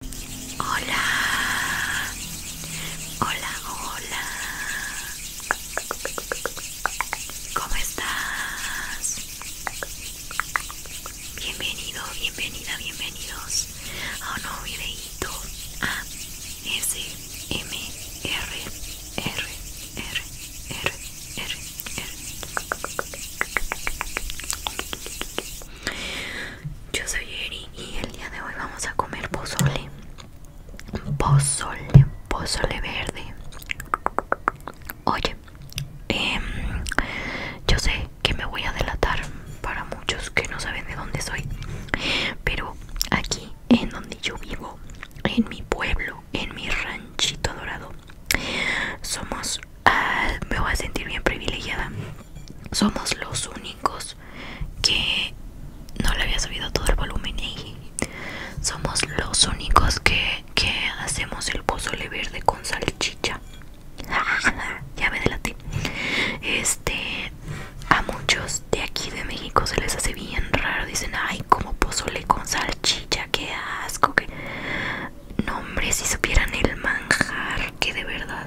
Hola, hola, hola. ¿Cómo estás? Bienvenido, bienvenida, bienvenidos a un nuevo videíto A ah, S M R R R R R R yo soy Eri y el día de hoy vamos a comer pozole. Pozole, pozole verde. Oye, em, yo sé que me voy a delatar para muchos que no saben de dónde soy, pero aquí en donde yo vivo, en mi pueblo, en mi ranchito dorado, somos Ah, me voy a sentir bien privilegiada. Somos los únicos que no le había subido todo el volumen. Y somos los únicos que, hacemos el pozole verde con salchicha. ya me Este, a muchos de aquí de México se les hace bien raro. Dicen, ay, como pozole con salchicha, qué asco. Que... No, hombre, si supieran el manjar que de verdad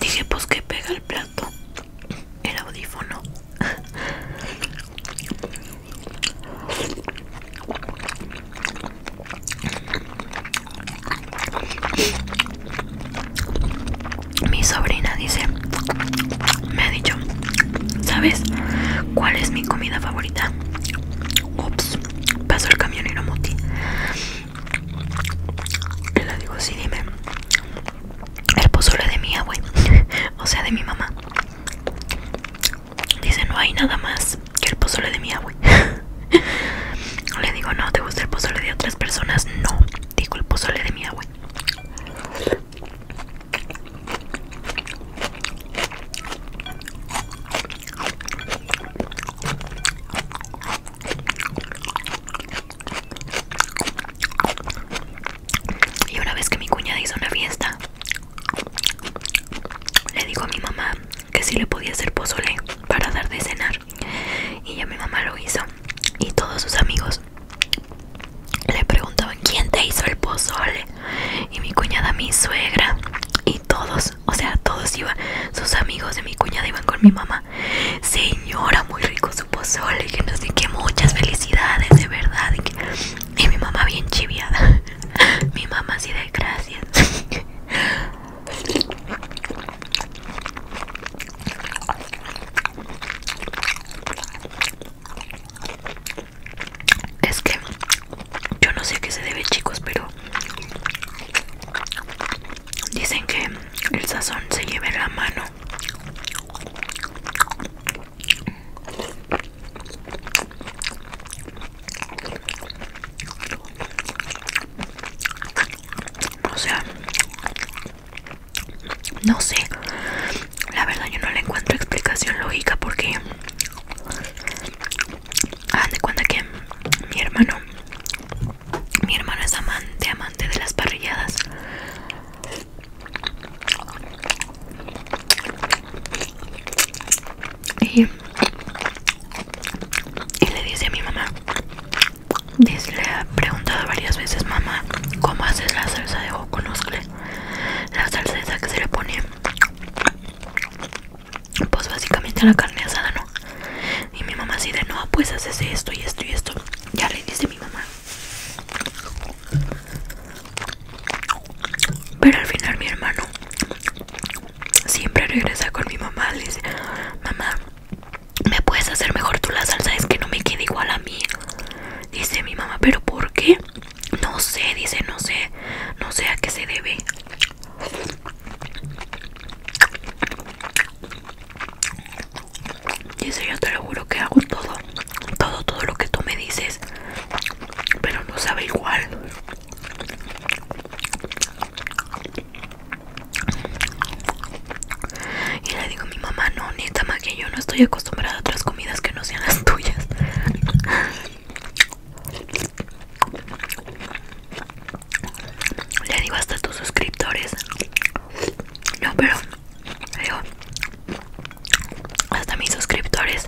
Dije, pues que pega el plato, el audífono. Mi sobrina dice, me ha dicho, ¿sabes cuál es mi comida favorita? Ups, pasó el camionero Muti. Le digo, sí, dime. El pozole de mi abuelo, o sea, de mi mamá. Dice, no hay nada más que el pozole de mi abuelo. Le digo, no, ¿te gusta el pozole de otras personas? No, digo el pozole de mi abuelo. Y una vez que mi cuñada hizo una fiesta, le dijo a mi mamá que si le podía hacer pozole para dar de cenar. Y ya mi mamá lo hizo. Y todos sus amigos le preguntaban quién te hizo el pozole y mi cuñada mi suegra y todos o sea todos iban sus amigos de mi cuñada iban con mi mamá señora muy rico su pozole que no sé qué muchas felicidades de verdad y, mi mamá bien chiviada mi mamá así de gracias es que yo no sé qué se debe, chicos, pero dicen que el sazón se lleve la mano. O sea, no sé, la verdad yo no le encuentro explicación lógica porque hagan de cuenta que mi hermano, mi hermano es amante, amante de las parrilladas. Y, y le dice a mi mamá, dice, preguntada varias veces, mamá, ¿cómo haces la salsa de joconoscle? La salsa esa que se le pone, pues básicamente la carne asada, ¿no? Y mi mamá así de, no, pues haces esto y esto y esto. Ya le dice mi mamá. Pero al final mi hermano siempre regresa con mi mamá, le dice, mamá, ¿me puedes hacer mejor tú la salsa? Es que no me queda igual a mí. Dice mi mamá, ¿pero por qué? No sé, dice, no sé, no sé a qué se debe. Dice, yo te lo juro que hago todo, todo, todo lo que tú me dices, pero no sabe igual. Y le digo a mi mamá, no, neta, ma, que yo no estoy acostumbrada a otras comidas que no sean las tuyas. Le digo hasta a tus suscriptores. No, pero digo, hasta mis suscriptores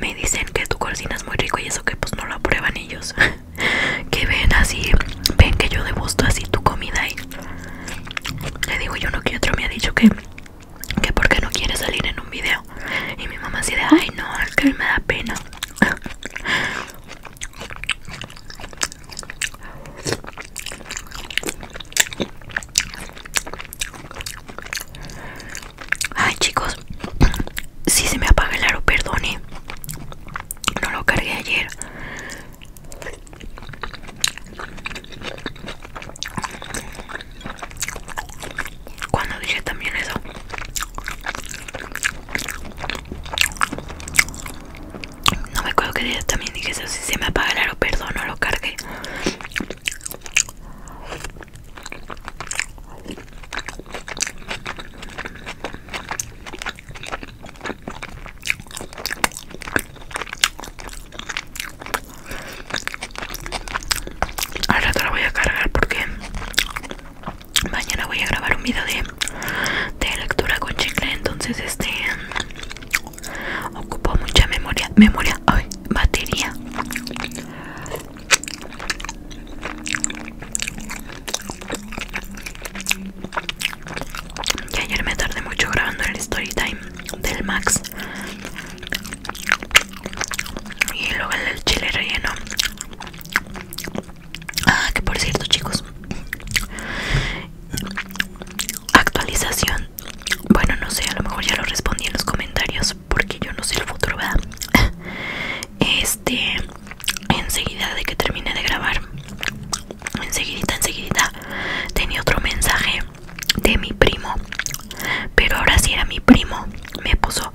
me dicen que tu cocina es muy rico y eso que pues no lo aprueban ellos. que ven así, ven que yo degusto así tu comida y le digo yo uno que otro me ha dicho que que porque no quiere salir en un video y mi mamá así de ay no es que me da pena ay chicos si se me apaga el aro perdone no lo cargué ayer cuando dije también eso. No me acuerdo que dije, también dije eso. Si se me apaga lo perdono lo cargué. Al rato la voy a cargar porque mañana voy a grabar un video de, lectura con chicle, entonces este ocupo mucha memoria, memoria, ay, batería. Y ayer me tardé mucho grabando el story time del Max y luego el del chile relleno. Ah, que por cierto, chicos, actualización. Bueno, no sé, a lo mejor ya lo respondí en los comentarios porque yo no sé el futuro, ¿verdad? Este, enseguida de que termine de grabar, Enseguida, enseguida tenía otro mensaje de mi primo pero ahora sí era mi primo me puso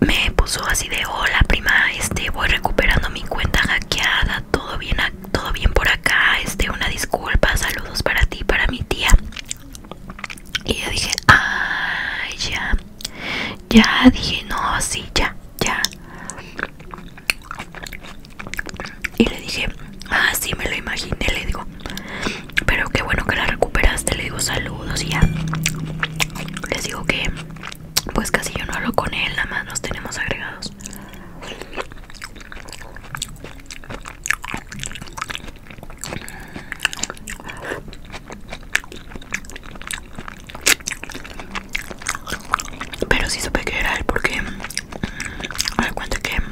me puso así de hola prima este voy recuperando mi cuenta hackeada todo bien todo bien por acá este una disculpa saludos para ti para mi tía y yo dije ay ya ya dije no sí ya ya y le dije, ah, sí, me lo imaginé, le digo. Pero qué bueno que la recuperaste, le digo saludos y ya. Les digo que pues casi yo no hablo con él, nada más nos tenemos agregados. Pero sí supe que era él porque mm, me que mm,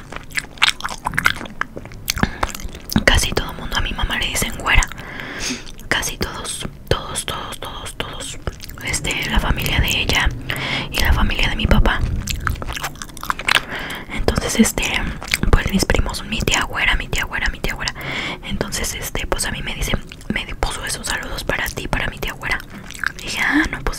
casi todo mundo a mi mamá le dicen güera. Casi todos, todos, todos, todos, todos. Este, la familia de ella y la familia de mi papá. Entonces, este, pues mis primos, mi tía güera, mi tía güera, mi tía güera. Entonces, este, pues a mí me dicen me puso esos saludos para ti, para mi tía güera. Y dije, ah, no, pues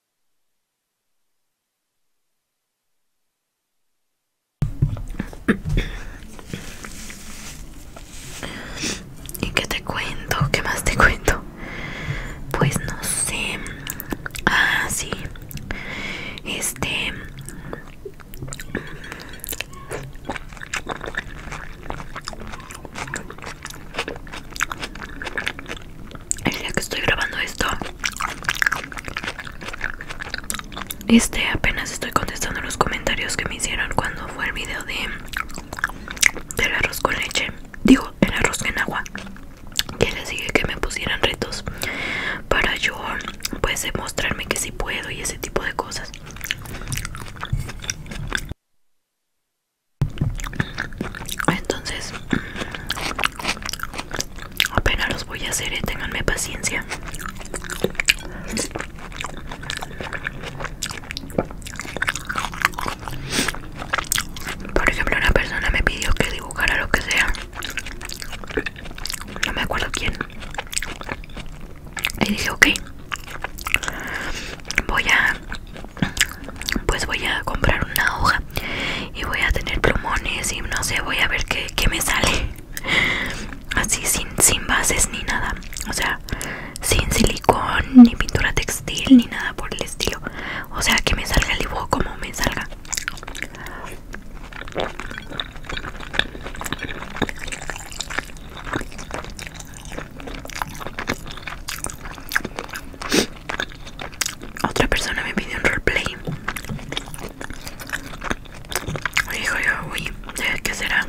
¿Y qué te cuento? ¿Qué más te cuento? Pues no sé. Ah, sí. Este el día que estoy grabando esto este apenas estoy contestando los comentarios que me hicieron cuando fue el video de del arroz con leche digo el arroz en agua que les dije que me pusieran retos para yo pues demostrarme que sí puedo y ese tipo de cosas entonces, mm, apenas los voy a hacer, ¿eh? tenganme paciencia. Por ejemplo, una persona me pidió que dibujara lo que sea. No me acuerdo quién. Y dije, ok, voy a pues voy a comprar una hoja y voy a tener plumones y no sé, voy a ver qué, me sale. Así sin, sin bases ni nada. O sea, sin silicón, ni pintura textil, ni nada por el estilo. O sea, que me salga el dibujo como me salga. Otra persona me pidió un roleplay. Dijo yo, uy, ¿qué será?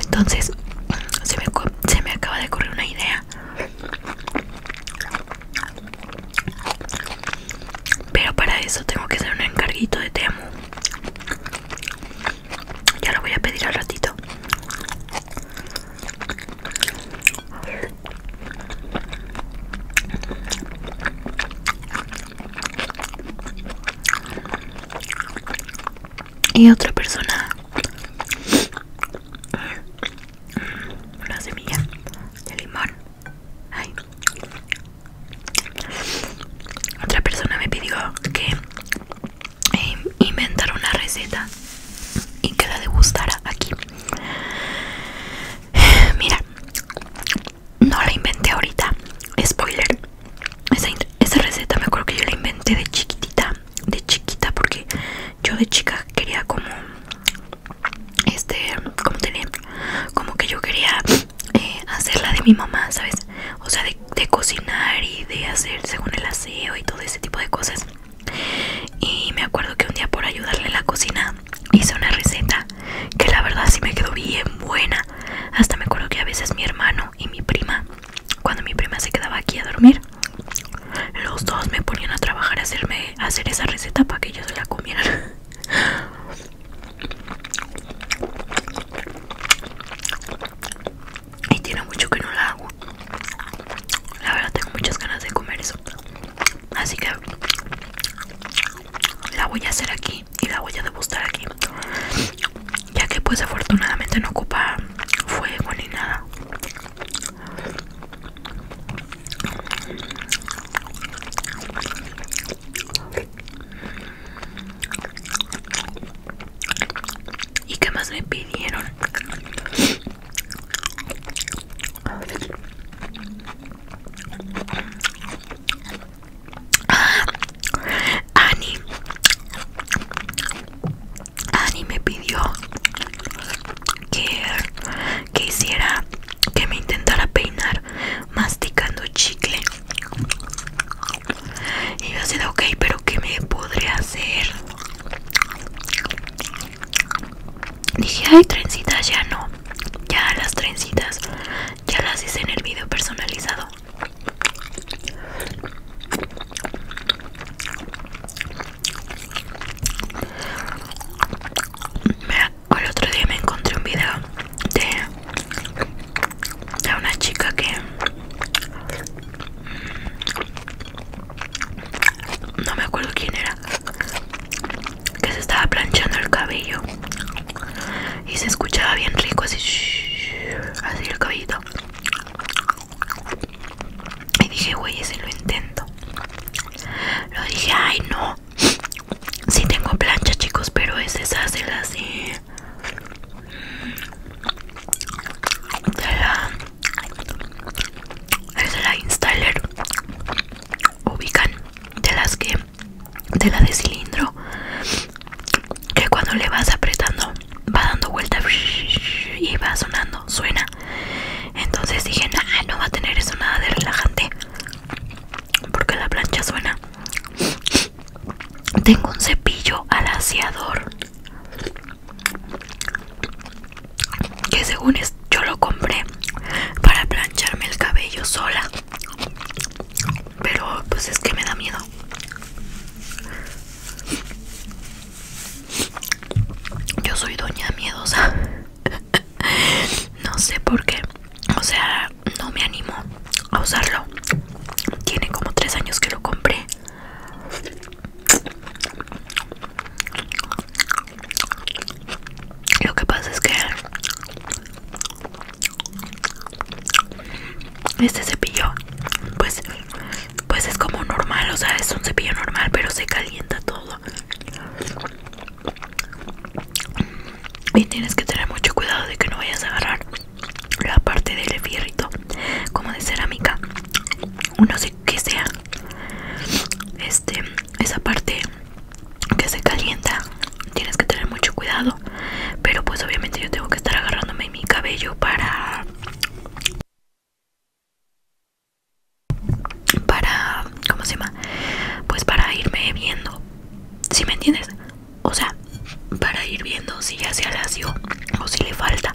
Entonces, se me, acaba de correr una idea. Pero para eso tengo que hacer un encarguito de Temu. Ya lo voy a pedir al ratito. Y otra persona. Una semilla de limón. Otra persona me pidió que eh, inventar una receta y que la degustara aquí. Mira, no la inventé ahorita. Spoiler. Esa, receta me acuerdo que yo la inventé de chiquitita. De chiquita porque yo de chica quería como... Este... Como Como que yo quería eh, hacerla de mi mamá, ¿sabes? O sea, de de, cocinar y de hacer según el aseo y todo ese tipo de cosas y me acuerdo que un día por ayudarle en la cocina hice una receta que la verdad sí me quedó bien buena hasta me acuerdo que a veces mi hermano y mi prima cuando mi prima se quedaba aquí a dormir los dos me ponían a trabajar a hacerme hacer esa receta para que ellos la comieran y tiene mucho que no la hago. La verdad tengo muchas ganas de comer eso. Así que la voy a hacer aquí y la voy a degustar aquí. Ya que pues afortunadamente no ocupa fuego ni nada. ¿Y qué más me pidieron? Ah, Ani Ani me pidió que, que hiciera que me intentara peinar masticando chicle y yo ha ok, pero ¿qué me podré hacer? Dije, hay trencitas, ya no. Ya las trencitas, ya las hice en el video personalizado. Mira, el otro día me encontré un video de era una chica que no me acuerdo quién era que se estaba planchando el cabello y se escuchaba bien rico así así el cabellito y dije güey ese lo intento lo dije ay no si sí tengo plancha chicos pero es esas hace así de la es la installer ubican de las que de la de cilindro que cuando le vas apretando va dando vuelta y va sonando suena entonces dije no va a tener eso nada de relajante porque la plancha suena tengo un cepillo alaciador que según yo lo compré para plancharme el cabello sola. Pero pues es que me da miedo. Yo soy doña miedosa. no sé por qué. O sea, no me animo a usarlo. Tiene como tres años que lo compré. Lo que pasa es que este cepillo, pues, pues es como normal, o sea, es un cepillo normal, pero se calienta todo. Y tienes que tener mucho cuidado de que no vayas a agarrar la parte del efierrito como de cerámica no sé qué sea este esa parte que se calienta tienes que tener mucho cuidado pero pues obviamente yo tengo que estar agarrándome mi cabello para para cómo se llama pues para irme viendo si me entiendes o sea, para ir viendo si ya se alació o si le falta,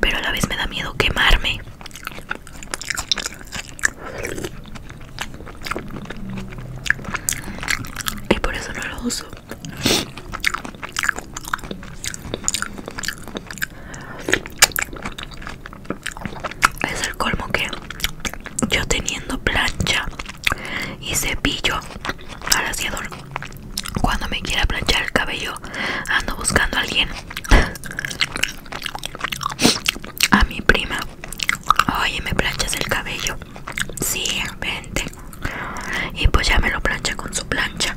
pero a la vez me da miedo quemarme. Y por eso no lo uso. Es el colmo que yo teniendo plancha y cepillo para cuando me quiera planchar el cabello, ando buscando a alguien. A mi prima. Oye, ¿me planchas el cabello? Sí, vente. Y pues ya me lo plancha con su plancha.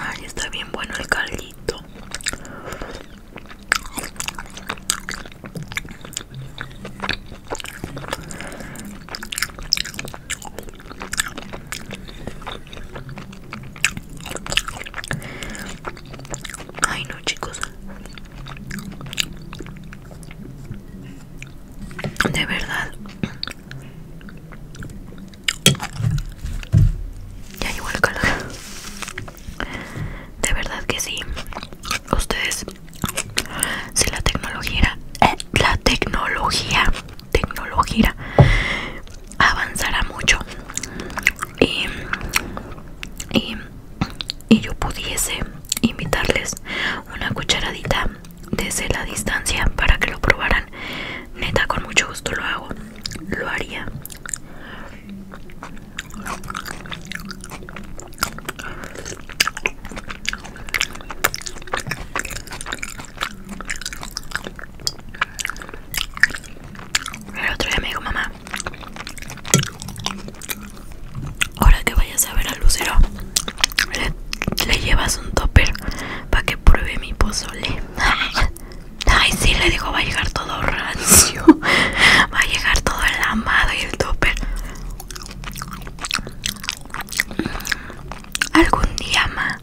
Ay, está bien bueno el caldito. Ay no chicos De verdad Ya llegó el calor De verdad que sí Ustedes Si la tecnología era, eh, La tecnología tecnología avanzará mucho y, y, yo pudiese invitarles una cucharadita desde la distancia para que lo probaran neta con mucho gusto lo hago lo haría el otro día me dijo mamá, ahora que vayas a ver al lucero, le, llevas un topper para que pruebe mi pozole. Ay, si le digo, va a llegar todo rancio. Va a llegar todo el amado y el topper algún día ma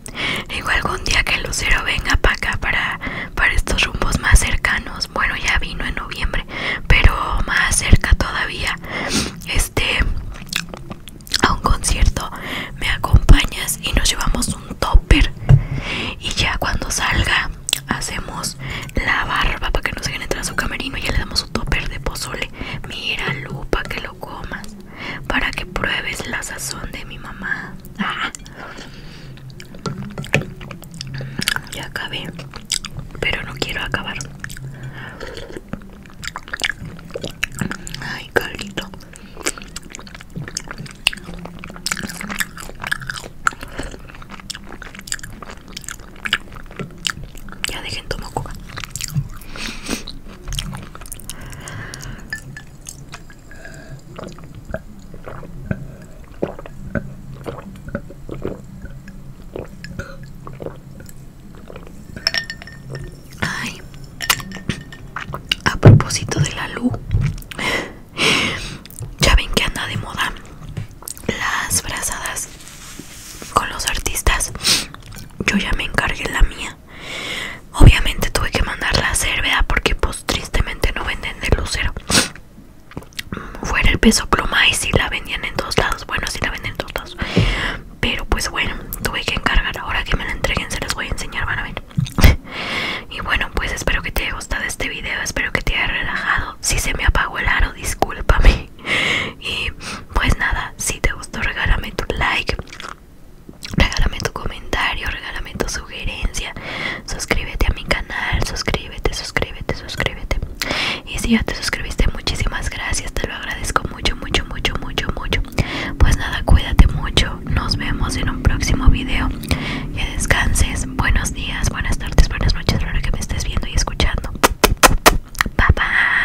digo algún día que Lucero venga para acá para estos rumbos más cercanos bueno ya vino en noviembre pero más cerca todavía este a un concierto me acompañas y nos llevamos un topper y ya cuando salga hacemos la barba para que no se entrar a su camerino y ya le damos un topper de pozole mira lupa que lo comas para que pruebes la sazón de mi mamá. Ah. Ya acabé, pero no quiero acabar. Ay, Carlito. Ya dejen tu a propósito de la luz, ya ven que anda de moda las brazadas con los artistas. Yo ya me encargué la mía. Obviamente tuve que mandarla a hacer, ¿verdad? Porque pues tristemente no venden de lucero. Fuera el peso pluma y si la vendían en todos lados. Bueno, si la venden en todos lados. Pero pues bueno, tuve que encargar. Ahora que me la entreguen se las voy a enseñar, van a ver. y bueno, pues espero que te haya gustado este video. Espero que te haya relajado. Si se me apagó el aro, discúlpame y pues nada si te gustó regálame tu like regálame tu comentario regálame tu sugerencia suscríbete a mi canal suscríbete suscríbete suscríbete y si ya te suscribiste muchísimas gracias te lo agradezco mucho mucho mucho mucho mucho pues nada cuídate mucho nos vemos en un próximo video que descanses buenos días buenas tardes buenas noches a que me estés viendo y escuchando Bye bye.